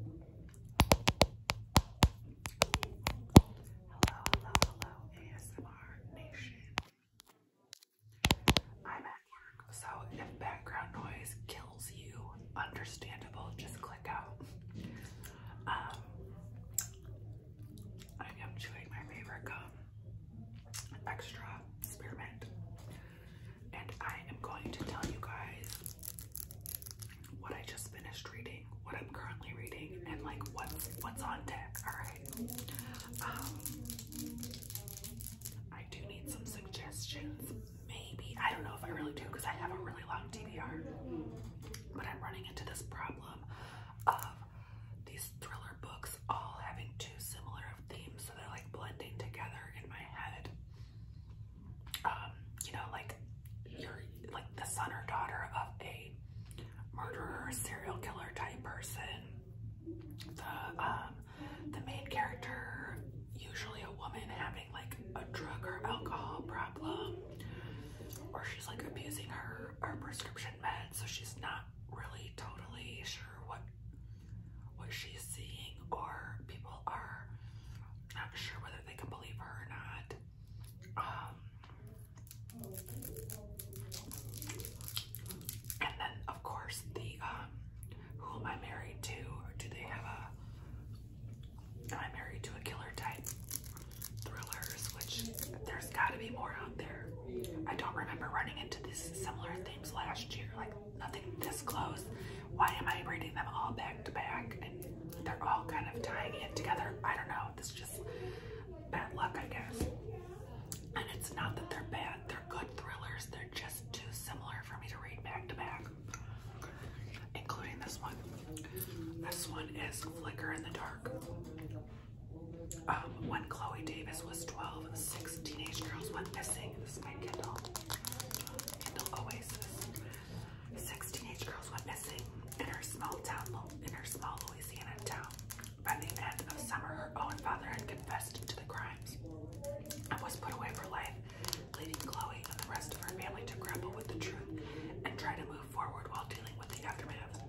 Hello, hello, hello, ASMR Nation. I'm at work, so if background noise kills you, understandable, just click out. Um, I am chewing my favorite gum, extra spearmint, and I am going to tell you guys what I just finished reading, what I'm currently reading, and like what's what's on deck. All right. Um, I do need some suggestions. Maybe I don't know if I really do because I have a really long TBR, but I'm running into this problem of these thriller books all having too similar of themes, so they're like blending together in my head. Um, you know, like you're like the son or daughter of a murderer, serial killer type person. The um, the main character, usually a woman having like a drug or alcohol problem, or she's like abusing her her prescription meds, so she's not really totally sure what what she's seeing, or people are not sure whether they can believe her or not. Um, and then, of course, the um, who am I married to? do they have a? Am married to a killer type thrillers? Which there's got to be more out there. I don't remember running into these similar themes last year. Like nothing this close. Why am I reading them all back to back? And they're all kind of tying it together. I don't know. This is just bad luck, I guess. And it's not that they're bad. They're good thrillers. They're just too similar for me to read back to back. Including this one. This one is Flicker in the Dark. Um, when Chloe Davis was 12, teenage girls went missing. This is Kindle. Kindle Oasis. Six teenage girls went missing in her small town, in her small Louisiana town. By the end of summer, her own father had confessed to the crimes and was put away for life, leaving Chloe and the rest of her family to grapple with the truth and try to move forward while dealing with the aftermath.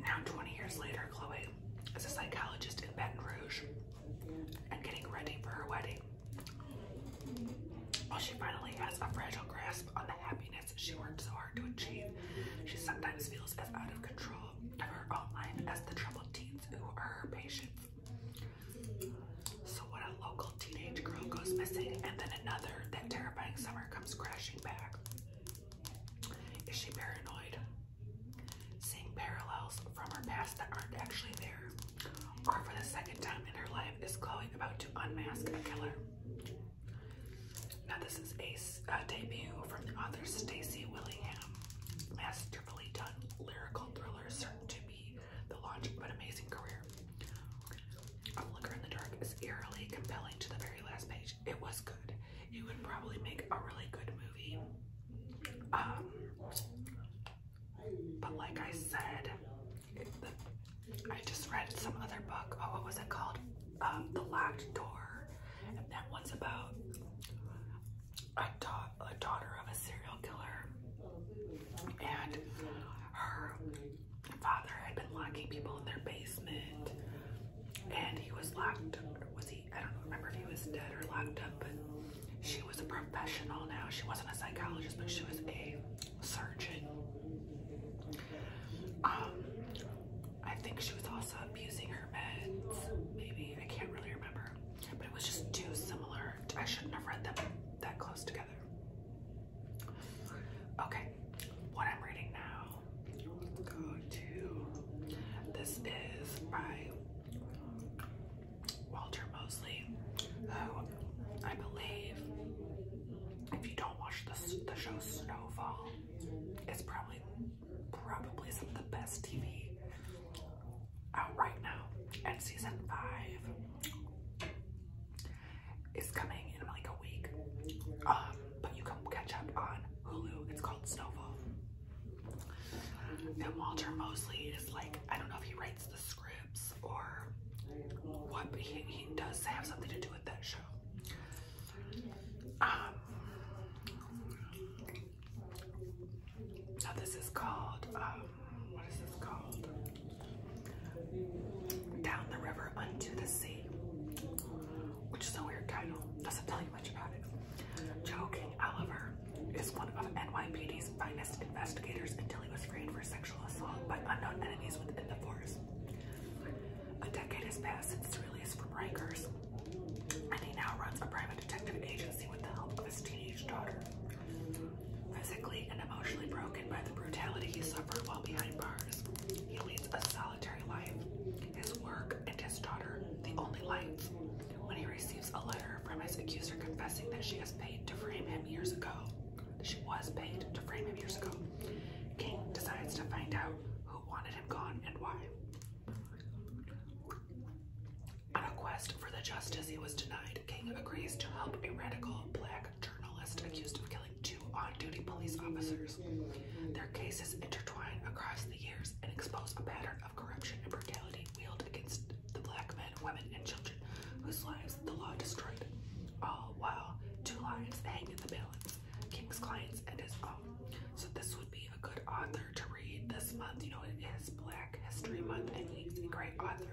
Now, 20 years later, Chloe is a psychologist in Baton Rouge and getting ready for her wedding. While oh, she finally has a fragile grasp on the happiness she worked so hard to achieve, she sometimes feels as out of control of her own life as the troubled teens who are her patients. So when a local teenage girl goes missing and then another, that terrifying summer comes crashing back. Is she paranoid? Seeing parallels from her past that aren't actually there or for the second time in her life, is Chloe about to unmask a killer? Now, this is a, debut from the author Stacy Willingham, masterfully done lyrical thriller certain to be the launch of an amazing career. A Liquor in the Dark is eerily compelling to the very last page. It was good. It would probably make a really good movie. Um, but like I said, I just read some other book. Oh, what was it called? Um, the Locked Door. And that one's about a, da a daughter of a serial killer. And her father had been locking people in their basement. And he was locked, was he? I don't remember if he was dead or locked up, she was a professional now. She wasn't a psychologist, but she was a surgeon. Um, I think she was also abusing her meds, maybe. I can't really remember. But it was just too similar. I shouldn't have read them that close together. Okay, what I'm reading now, go to, this is by Walter Mosley, who I believe, if you don't watch the, the show Snowfall, it's probably probably some of the best TV out right now. And season five is coming in like a week. Um, but you can catch up on Hulu. It's called Snowfall. And Walter Mosley is like, I don't know if he writes the scripts or what he, he does have something to do with that show. now um, this is called, um, what is this called? Down the River Unto the Sea, which is a weird title. Doesn't tell you much about it. Joe King is one of NYPD's finest investigators until he was framed for sexual assault by unknown enemies within the force. A decade has passed since release from Rikers, and he now runs a private detective agency with the help of his teenage daughter. Physically and emotionally broken by the brutality he suffered while behind bars, he leads a solitary life. His work and his daughter, the only lights. When he receives a letter from his accuser confessing that she has paid to frame him years ago, she was paid to frame him years ago. King decides to find out who wanted him gone and why. On a quest for the justice he was denied, King agrees to help a radical black journalist accused of killing two on-duty police officers. Their cases intertwine across the years and expose a pattern of corruption and brutality wielded against the black men women, and children whose lives the law destroyed, all while two lives hang in the balance, King's clients and his own. So this would be a good author to read this month. You know, it is Black History Month and he's a great author.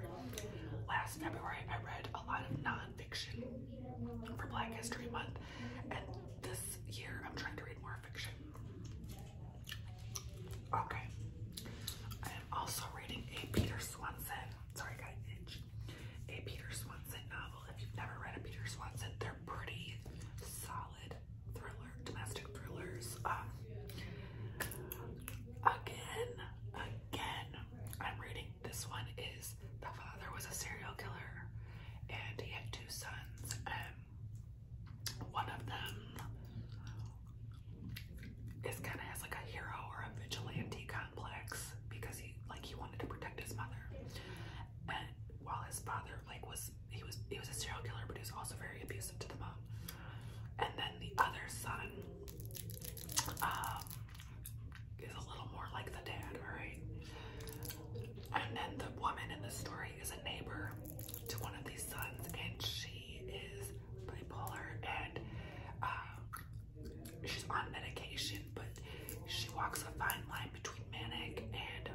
Last February, I read a lot of nonfiction for Black History Month, and this year I'm trying to read more fiction. Okay. I am also reading a Peter Swanson sorry, I A Peter Swanson novel. If you've never read a Peter Swanson, they're pretty solid thriller, domestic thrillers. Um, again, again, I'm reading this one is the father was a serial killer and he had two sons. Um, one of them is kind of has like a hero or a vigilante complex because he like he wanted to protect his mother. And while his father like was he was he was a serial killer but he was also very abusive to the mom. And then the other son um, is a little more like the dad, alright? And then the woman in the story is a neighbor to one of these sons and she is bipolar and uh, she's on medication, but she walks a fine line between manic and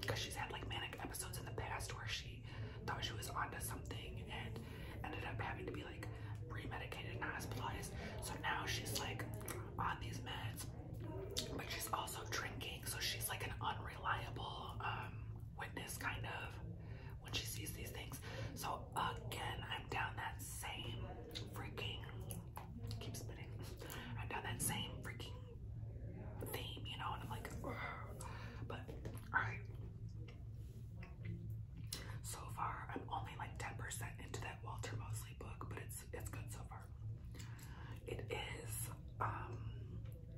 because um, she's had like manic episodes in the past where she thought she was onto something and ended up having to be like re-medicated and hospitalized. So now she's like on these meds, but she's also drinking, so she's like an unreliable um, witness kind of when she sees these things. So again, I'm down that same freaking keep spinning. I'm down that same freaking theme, you know, and I'm like, but alright. So far, I'm only like 10% into that Walter Mosley book, but it's it's good so far. It is, um,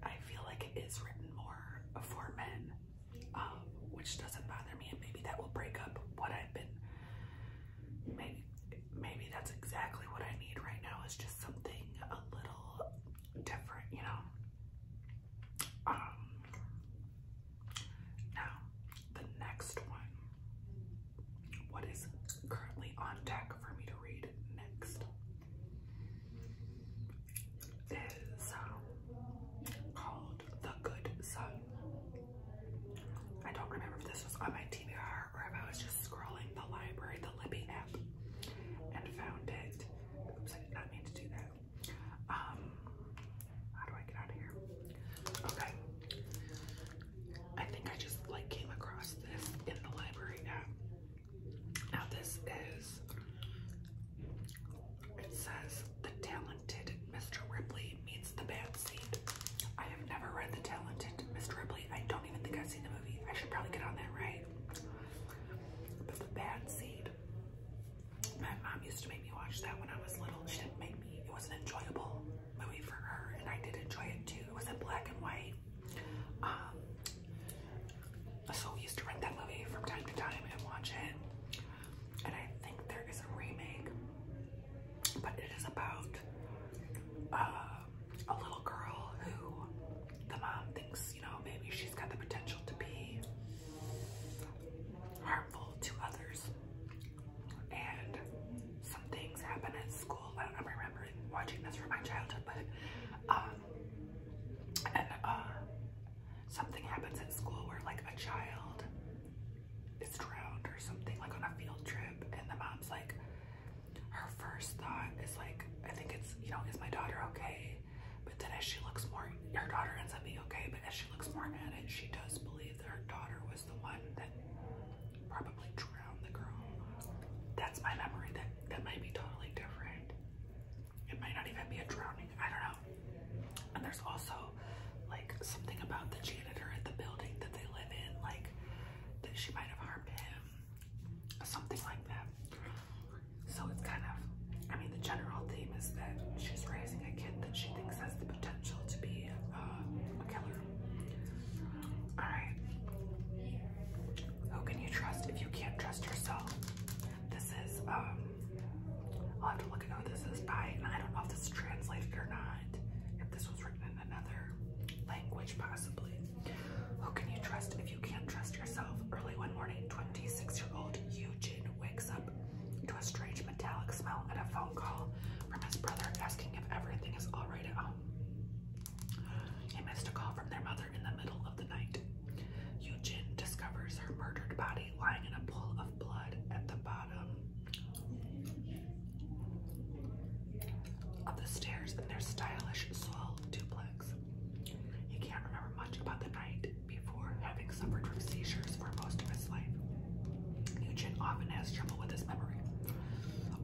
I feel like it is written more for men um, which doesn't bother me, and maybe that will break up what I've been. Maybe, maybe that's exactly what I need right now. Is just something a little different, you know. Um, now, the next one. What is currently on deck for me to read next? Is um, called the Good Son. I don't remember if this was on my TBR or if I was just scrolling the library, the Libby app, and found it. Oops, I did not mean to do that. Um, how do I get out of here? Okay. I think I just like came across this in the library app. Now this is, it says the talent Talented Mr. Ripley meets the bad seed. I have never read The Talented Mr. Ripley. I don't even think I've seen the movie. I should probably get on that, right? But The Bad Seed. My mom used to make me watch that when I was little. She didn't make me. It was not enjoyable movie for her, and I did enjoy it too. It was in black and white. Um, so we used to rent that movie from time to time and watch it and I think there is a remake, but it is about uh, a little girl who the mom thinks, you know, maybe she's got the potential to be harmful to others. And some things happen at school. I I'm remembering watching this from my childhood, but um, and uh, something happens at school where like a child is drowned or something like on a field trip and the mom's like her first thought is like I think it's you know is my daughter okay but then as she looks more her daughter ends up being okay but as she looks more at it she does believe that her daughter was the one that probably drowned the girl that's my memory that that might be totally different it might not even be a drowning I don't know and there's also like something about the janitor at the building that they live in, like that she might have harmed him, something like that. So it's kind of, I mean, the general theme is that she's raising a kid that she thinks has the potential to be uh, a killer. All right. Who can you trust if you can't trust yourself? This is um, I'll have to look at who this is by, and I don't know if this is translated or not, if this was written in another language possibly. Who can you trust if you can't trust yourself? Early one morning, 26-year-old Eugene wakes up to a strange metallic smell and a phone call from his brother asking if everything is all right at home. He missed a call from their mother in the middle of the night. Eugene discovers her murdered body lying in a pool of blood at the bottom bottom the stairs in their stylish soil duplex. He can't remember much about the night before having suffered from seizures for most of his life. Nugent often has trouble with his memory.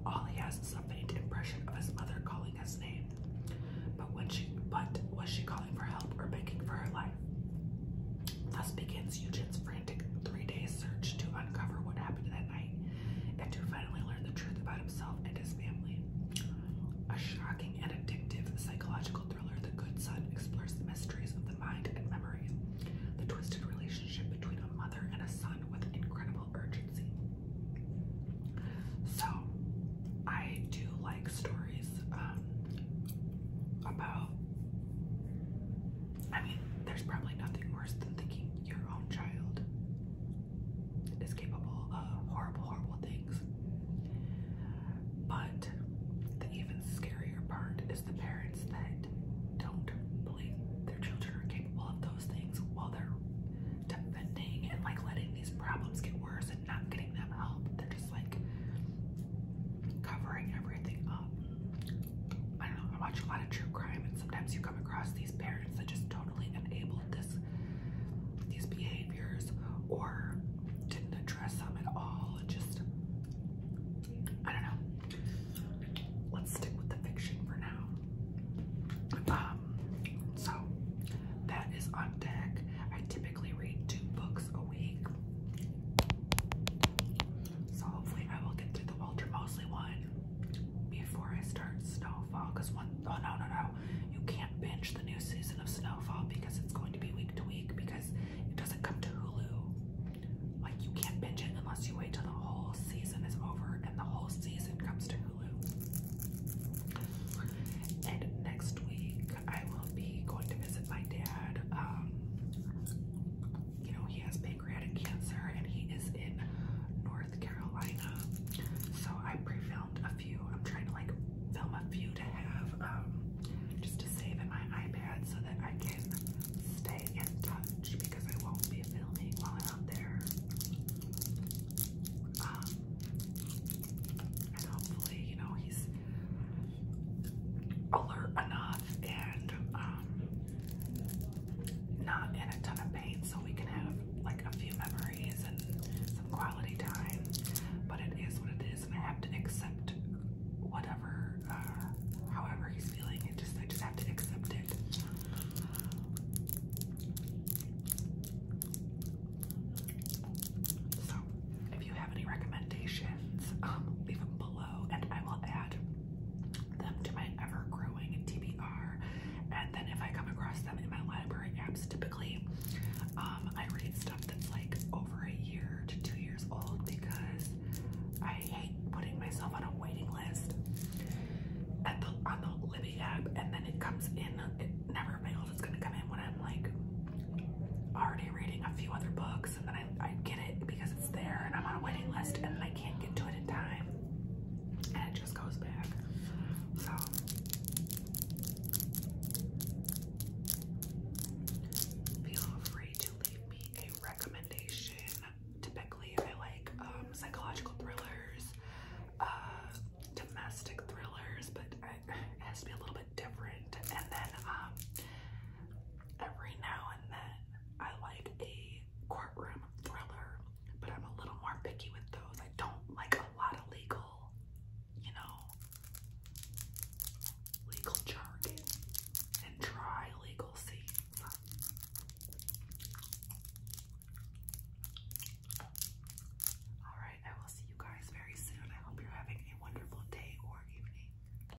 All he has is a faint impression of his mother calling his name. but was she calling for help or begging for her life? Thus begins Eugen's frantic three-day search to uncover what happened that night and to finally learn the truth about himself and his family. A shocking and addictive psychological thriller, The Good Son explores the mysteries of the mind and memory, the twisted relationship between a mother and a son with incredible urgency. So, I do like stories um, about I mean, there's probably nothing worse than thinking your own child is capable of horrible, horrible things. But the even scarier part is the parents that don't believe their children are capable of those things while they're defending and like letting these problems get worse and not getting them help. They're like covering everything up. I don't know, I watch a lot of true crime and sometimes you come across these parents that just totally enabled this these behaviors or didn't address them at all. It just I don't know. Let's stick with the fiction for now. Um so that is on deck. I typically read two books a week. So hopefully I will get through the Walter Mosley one before I start Snowfall. Cause one, oh no, no, no. You can't binge the new season of Snowfall because it's going to be week to week because it doesn't come to Hulu. Like you can't binge it unless you wait till the whole season is over and the whole season comes to Hulu. And next week I will be going to visit my dad. Um, you know, he has pancreatic cancer and he is in North Carolina. So I pre-filmed a few. I'm trying to like film a few to have um, just to save in my iPad so that I can stay in touch because I won't be filming while I'm out there. Um, and hopefully, you know, he's alert enough and um, not in a ton of pain so we can have like a few memories and some quality time. But it is what it is and I have to accept whatever, uh, however he's feeling. It just, I just have to accept it. So, if you have any recommendations, um, leave them below and I will add them to my ever-growing TBR. And then if I come across them in my library apps, typically um, I read stuff that's like over a year to two years old because I hate putting myself on a waiting list at the on the Libby app, and then it comes in. It never fails. It's gonna come in when I'm like already reading a few other books and then I, get it because it's there and I'm on a waiting list and I can't get to it in time and it just goes back. So feel free to leave me a recommendation. Typically I like um, psychological thrillers, uh, domestic thrillers, but it has to be a little bit different. And then um, Every now and then I like a courtroom thriller, but I'm a little more picky with those. I don't like a lot of legal, you know, legal jargon and dry legal scenes. Alright, I will see you guys very soon. I hope you're having a wonderful day or evening.